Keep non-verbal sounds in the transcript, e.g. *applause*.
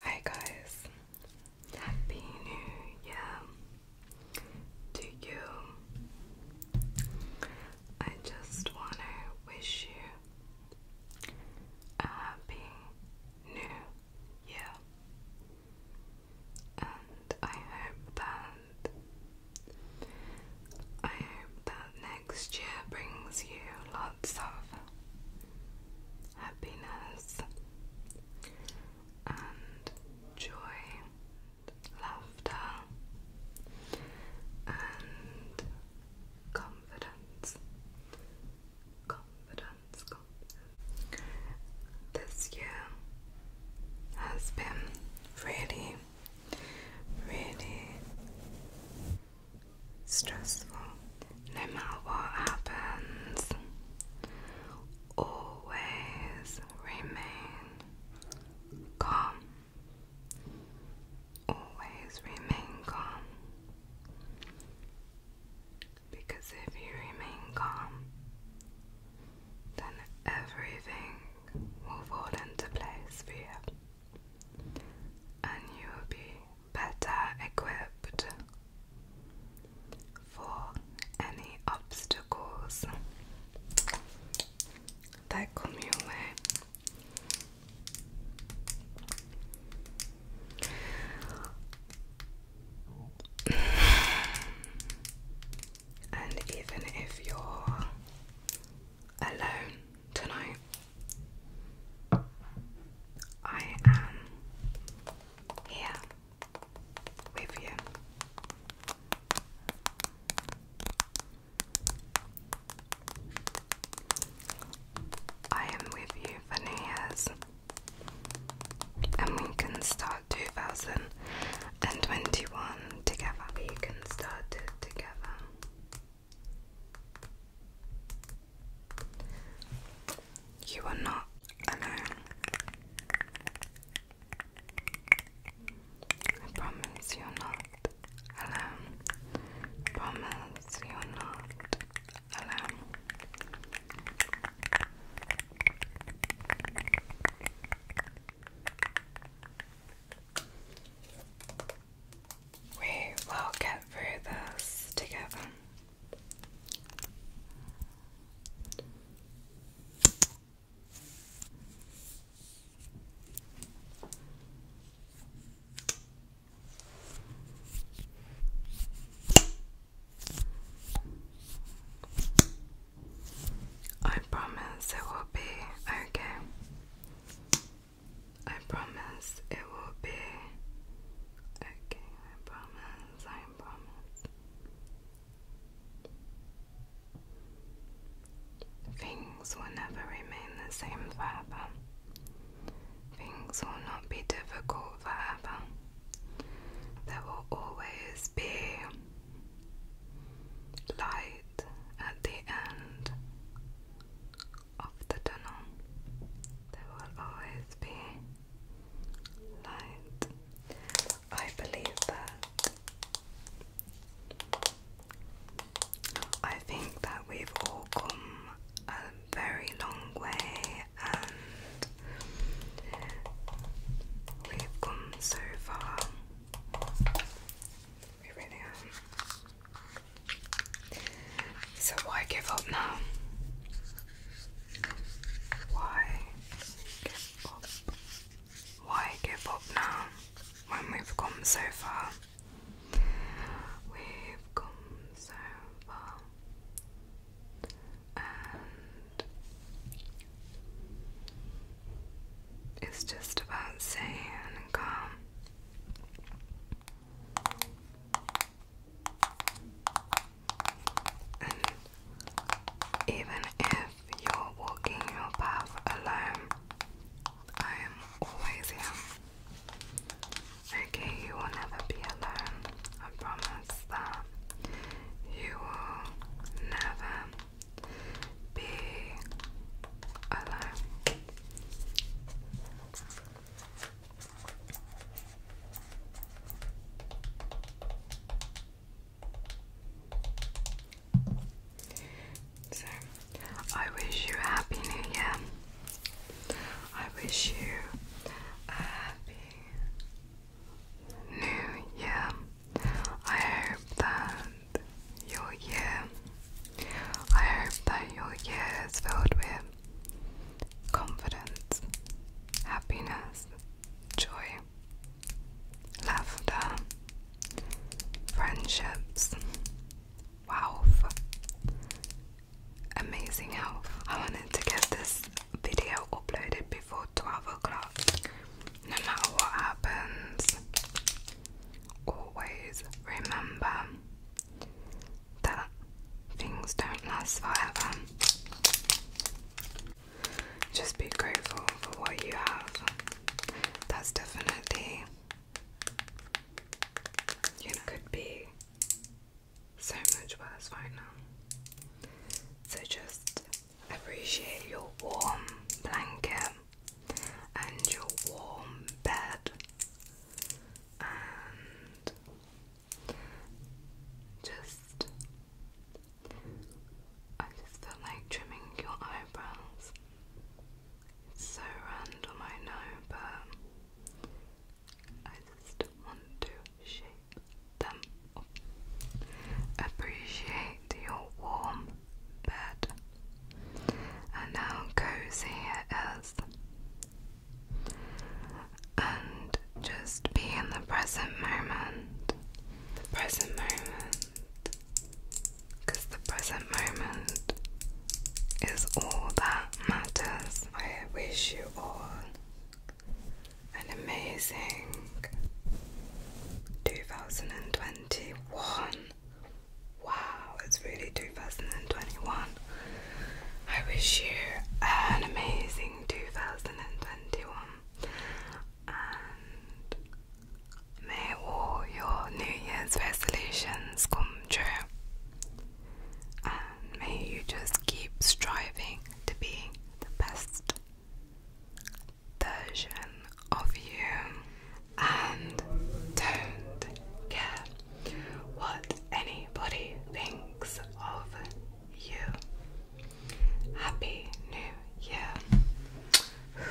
Hi guys, happy new year to you. I just want to wish you a happy new year, and I hope that I hope that next year brings you lots of happiness and joy, laughter and confidence. Confidence, confidence. This year has been really, really stressful. No matter what happens, always remain calm. Always remain calm. Because if you remain calm, then everything will fall into place for you and you will be better equipped for any obstacles that come your way. *sighs* And even if you're alone tonight, I am here with you. I am with you for Year's, and we can start 2021 together. We can start it together. You are not alone. I promise you're not alone. promise you're not alone. We will get through this together. I promise it will be okay. I promise it will be okay. I promise. I promise. Things will never remain the same forever. Things will not be difficult forever. There will always be light at the end of the tunnel. There will always be light. I believe that. I think that we've all come a very long way and We've come so far. We really are. So why give up now? Why give up? Why give up now when we've come so far? We've come so far it's just about staying calm. And even if you're walking your path alone, I am always here. Okay, you will never be alone. I promise that you will never be alone. So, I wish you a happy new year. I wish you a happy new year. I hope that your year, I hope that your year is filled with confidence, happiness, joy, laughter, friendships, wealth, amazing how I wanted to get this video uploaded before 12 o'clock. No matter what happens, always remember that things don't last forever. Just be grateful for what you have. That's definitely. You could be so much worse right now. So just appreciate your warm blanket and your warm bed and just I just feel like trimming your eyebrows. It's so random I know, but I just want to shape them Appreciate your warm bed and how cozy it is. And just be in the present moment. The present moment. Because the present moment is all that matters. I wish you all an amazing 2021. Wow, it's really 2021. I wish you an amazing 2021 and may all your New Year's resolutions come true. And may you just keep striving to be the best version of you. And don't care what anybody thinks of you. Happy New Year.